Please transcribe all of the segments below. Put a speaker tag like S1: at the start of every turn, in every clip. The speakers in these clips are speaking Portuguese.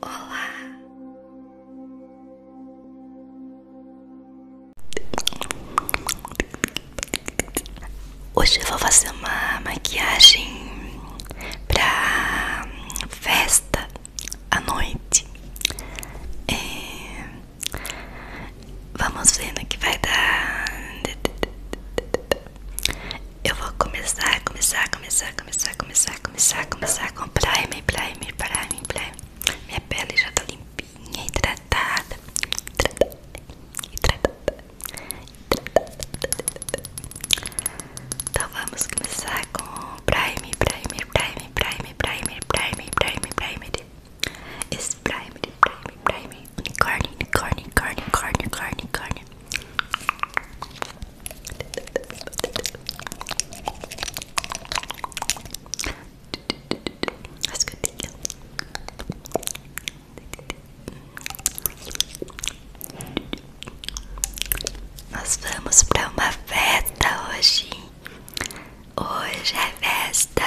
S1: Olá. Hoje eu vou fazer uma maquiagem pra festa à noite. É, vamos ver no que vai dar. Eu vou começar, começar, começar, começar, começar começar, começar, começar com primer, é primer, é primer, é primer. Minha pele já tá limpinha, hidratada. Hidratada, hidratada, hidratada. Então vamos começar com primer, primer, primer, primer, primer, primer, primer, primer. Esse primer, primer, primer. Unicórnio, unicórnio, unicórnio, unicórnio, unicórnio. Acho que eu tenho. Nós vamos pra uma festa hoje. Hoje é festa.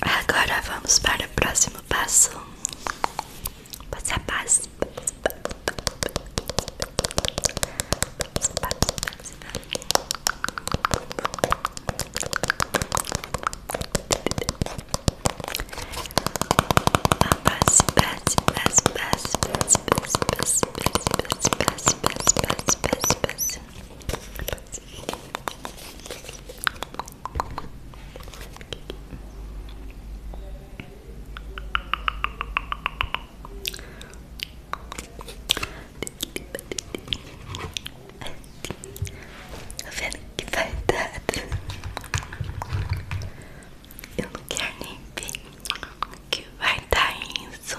S1: Agora vamos para o próximo passo. Passo a passo. Passe, passe, passe, passe, passe, passe, passe, passe, passe, passe, a passe, vendo que vai dar Eu não quero nem ver que vai dar isso.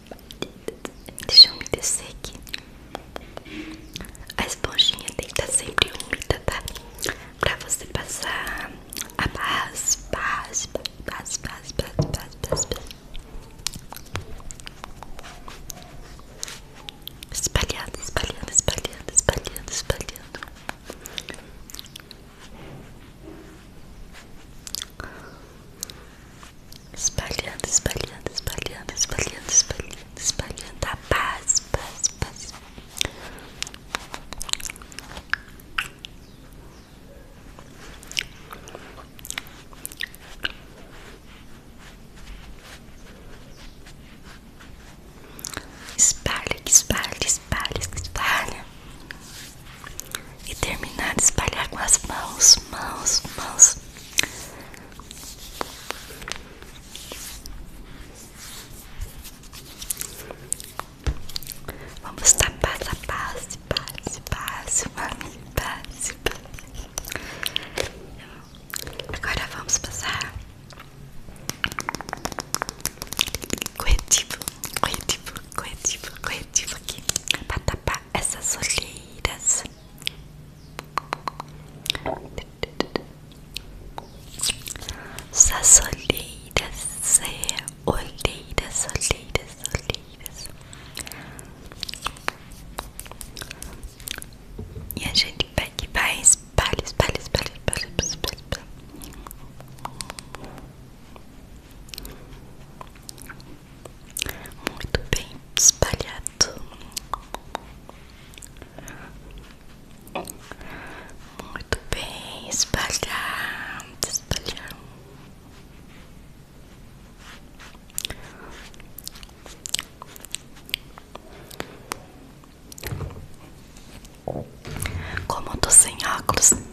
S1: Deixa eu me descer aqui. A esponjinha tem que estar sempre úmida, tá? Pra você passar a base, base, base, base, base, base, base, base. Espalhando, espalhando, espalhando, espalhando, espalhando. Espalhando, espalhando, espalhando, espalhando, espalhando, espalhando a paz, paz, paz. Espalha, espalha, espalha, espalha e terminar de espalhar com as mãos, mãos, mãos. Vamos tapar a passe, passe, passe, mami, passe, base. Agora vamos passar corretivo, corretivo, corretivo, corretivo aqui para tapar essas olheiras. Essas olheiras, é, olheiras, olheiras, olheiras. E a gente pega e vai espalha, espalha, espalha, espalha, espalha, espalha muito bem espalhado, muito bem espalhado, espalhado. Como eu sem óculos,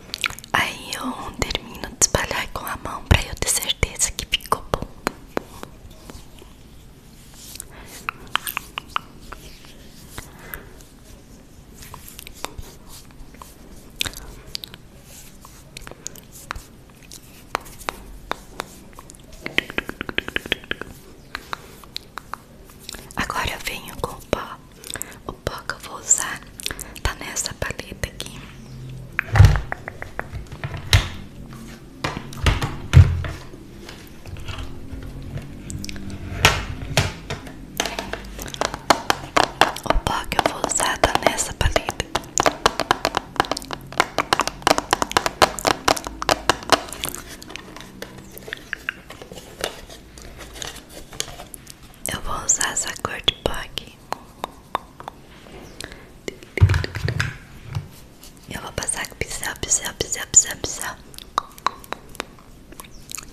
S1: Aí eu termino de espalhar com a mão pra eu ter certeza que ficou bom. Agora eu venho com o pó o pó que vou usar tá nessa paleta aqui. O pó que vou usar tá nessa paleta. Eu vou usar essa cor de pó aqui. Eu vou passar com pincel, pincel, pincel, pincel, pincel.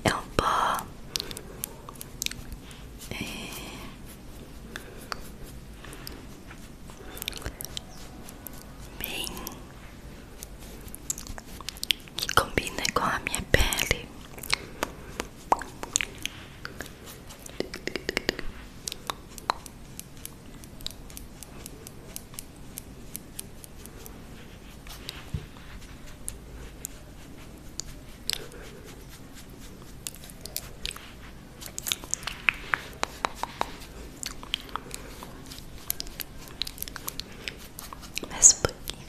S1: É um pó. É. Bem. Que combina com a minha pele. Mais um pouquinho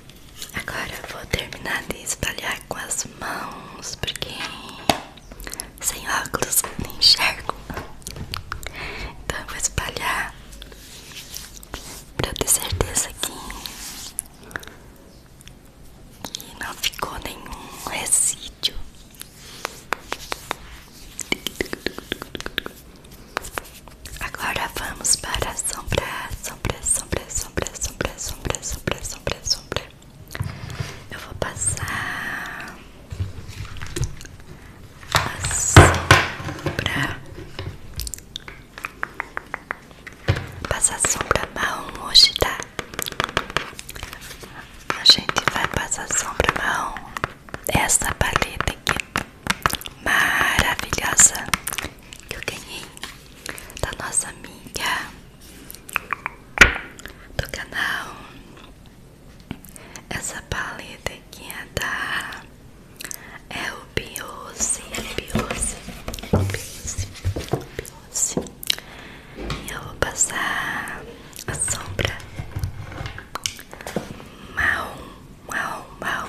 S1: Agora eu vou terminar de espalhar com as mãos, porque sem óculos não enxergo. Então eu vou espalhar pra eu ter certeza que, que não ficou nenhum resíduo. Agora vamos para a sombra, sombra, sombra, sombra, sombra, sombra, sombra, sombra, sombra. Eu vou passar a sombra. Passar a sombra marrom hoje, tá? A gente vai passar a sombra marrom. Essa paleta aqui maravilhosa que eu ganhei da nossa amiga do canal. Essa paleta aqui é da é o Biose, Biose, Biose, Biose. E eu vou passar a sombra mal mal mal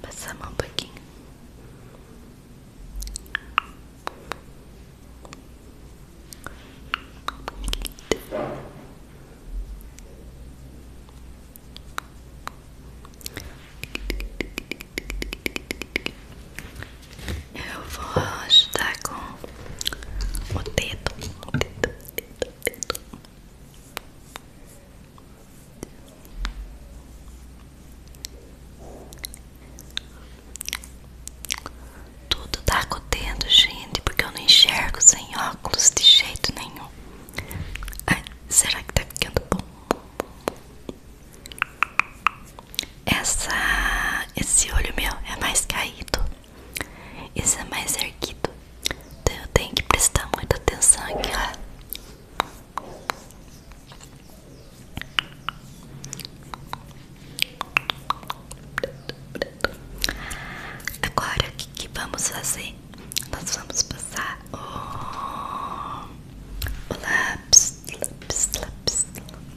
S1: Passa a um pouquinho. Eu vou ajudar com o dedo, o dedo, o dedo, Tudo tá com gente, porque eu não enxergo sem óculos de jeito nenhum. Ai, será que tá ficando bom? Essa, esse olho meu é mais caído. Isso é mais erguido. Então eu tenho que prestar muita atenção aqui, ó. Agora o que, vamos fazer? vamos passar o, o lápis, lápis, lápis,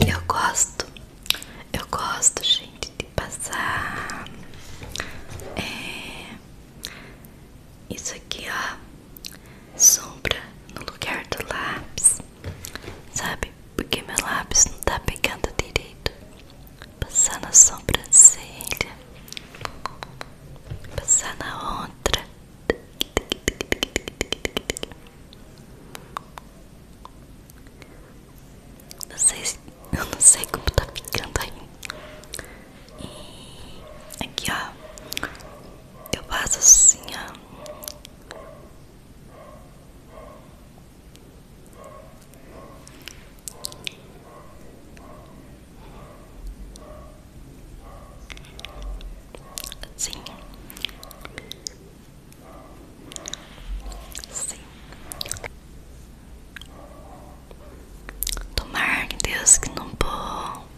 S1: É, eu gosto eu gosto, gente, de passar é, isso aqui, ó, sombra no lugar do lápis, sabe? Porque meu lápis não tá pegando direito. Passar na sobrancelha, passar na outra. Não sei, eu não sei como tá ficando aí. E aqui ó, eu faço assim ó. Assim. Sim. Tomar, Deus, que não vou.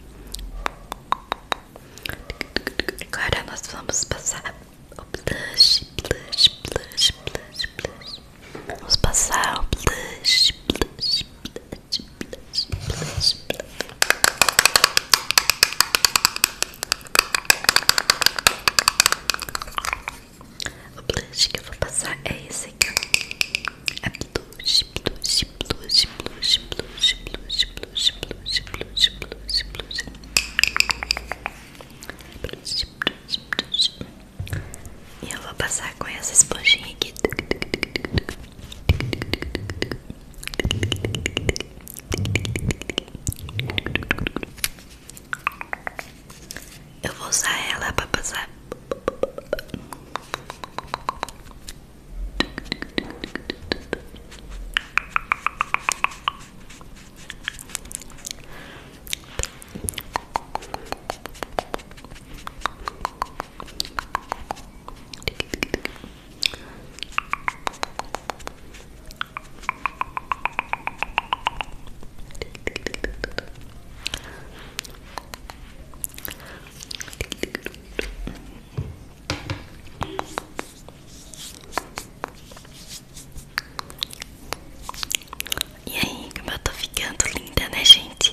S1: Agora nós vamos passar o blush, blush, blush, blush, blush. Vamos passar o blush, blush, blush, blush, blush, blush. O blush que eu vou passar é esse aqui. É blush, blush, blush, blush, blush, blush, blush, blush, blush, blush, blush. Blush, blush, blush. E eu vou passar com essa esponjinha aqui. Eu vou usar ela para passar. E aí, como eu tô ficando linda, né, gente?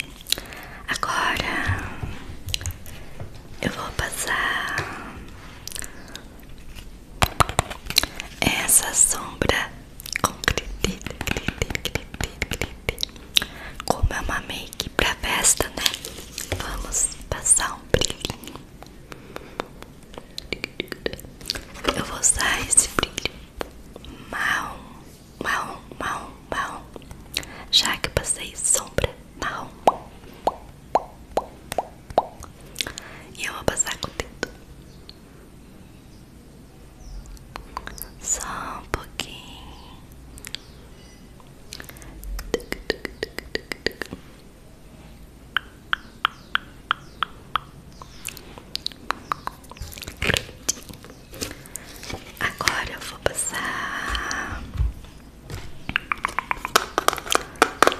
S1: Agora eu vou passar essa sombra com criti, criti, criti, criti. Como é uma make pra festa, né? Vamos passar um brilhinho. Eu vou usar esse brilho marrom, marrom, marrom, marrom. Já que eu passei sombra marrom. E eu vou passar com o dedo. Só um pouquinho. Agora eu vou passar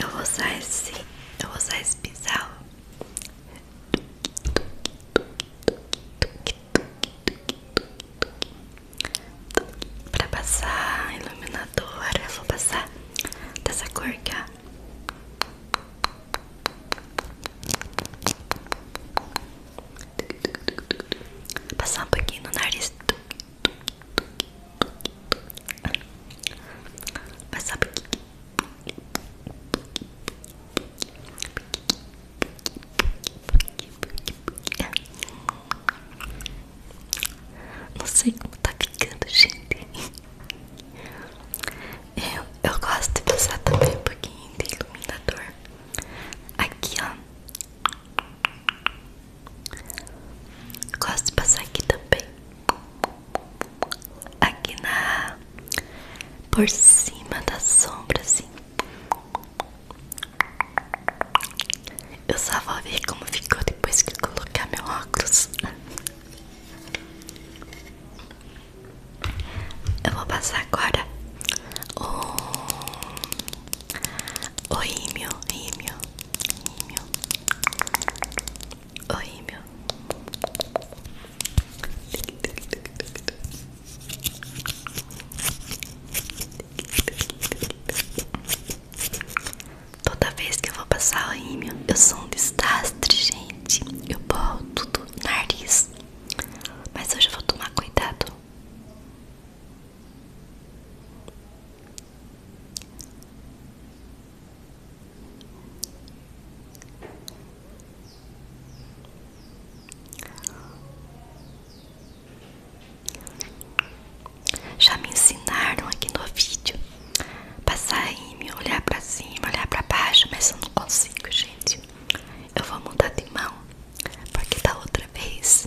S1: Eu vou usar esse, eu vou usar esse pincel. Pra passar iluminador, eu vou passar dessa cor aqui. ó. Passar um pouquinho no nariz. Mas sabe o que? Não sei como tá ficando, gente. Eu, eu gosto de usar também um pouquinho de iluminador. Aqui, ó. Gosto de passar aqui também. Aqui na. Por cima da sombra, assim. Eu só vou ver como ficou depois que eu colocar meu óculos. Eu vou passar agora o. O rímel, rímel. Rímel. O rímel. Toda vez que eu vou passar o rímel, eu sou um desastre, gente. Eu borro tudo nariz. Mas hoje eu vou tomar cuidado. Já me ensinaram aqui no vídeo passar em mim, olhar para cima, olhar para baixo, mas eu não consigo, gente. Eu vou mudar de mão, porque da outra vez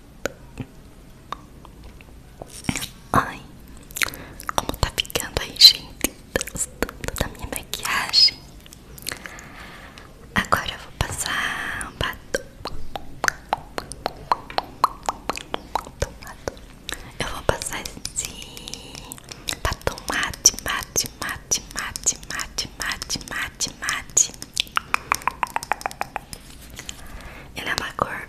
S1: Ai, como tá ficando aí, gente? Da minha maquiagem. Agora eu vou passar batom. Eu vou passar esse batom mate, mate, mate, mate, mate, mate, mate, mate. Ele é uma cor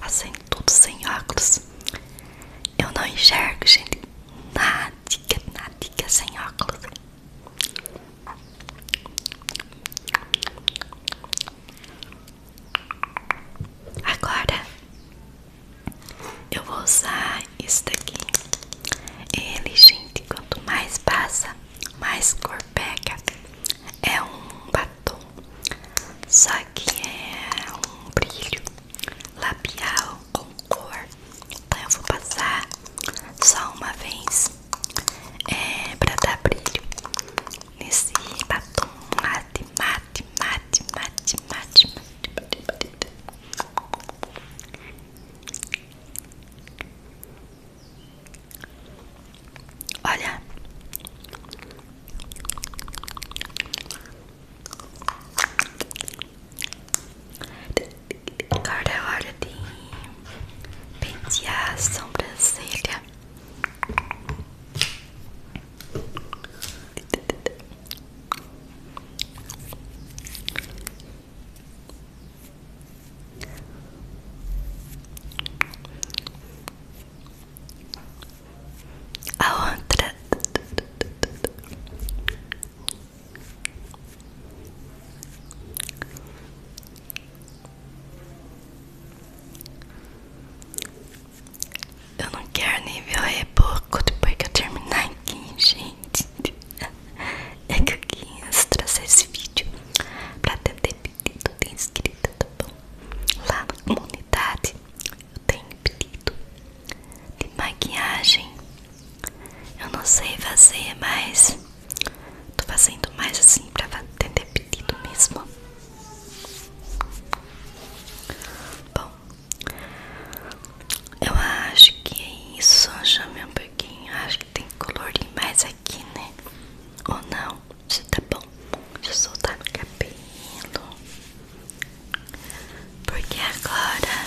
S1: Assim, tudo sem óculos. Eu não enxergo, gente. Nada, nada sem óculos. Agora eu vou usar isso daqui. Ele, gente, quanto mais passa, mais cor pega. É um só que é um brilho labial com cor. Então eu vou passar só uma vez é, para dar brilho nesse batom mate, mate, mate, mate, mate, mate, mate, mate, mate. Olha. Agora é hora de pentear sombras sobrancelha a outra eu não quero nem ver o reboco depois que eu terminar aqui, gente. É que eu quis trazer esse vídeo pra tentar pedido de inscrita, tá bom? Lá na comunidade eu tenho pedido de maquiagem. Eu não sei fazer, mas tô fazendo mais assim pra atender pedido mesmo. Bom, eu acho que é isso. Chamei um pouquinho. Acho que tem que colorir mais aqui, né? Ou não? bom, já tá bom. Deixa soltar no cabelo. Porque agora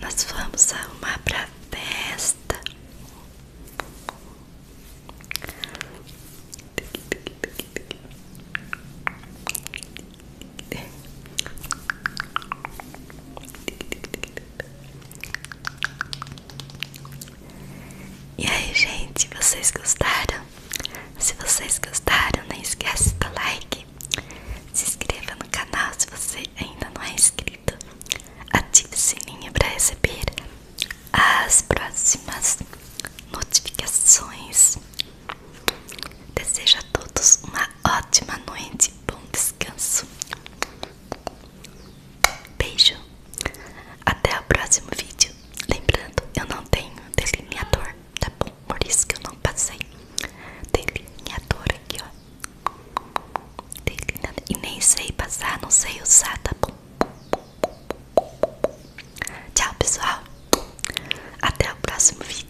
S1: nós vamos arrumar pra festa. E aí, gente, vocês gostaram? Se vocês gostaram, não esquece dar like. Se inscreva no canal se você ainda não é inscrito. Ative o sininho para receber as próximas notificações. Desejo a todos uma ótima noite, bom descanso Beijo. Até o próximo vídeo. Lembrando, eu não tenho delineador, tá bom? Por isso que eu não passei delineador aqui, ó. Delineador. E nem sei passar, não sei usar, tá bom? Tchau, pessoal. Até o próximo vídeo.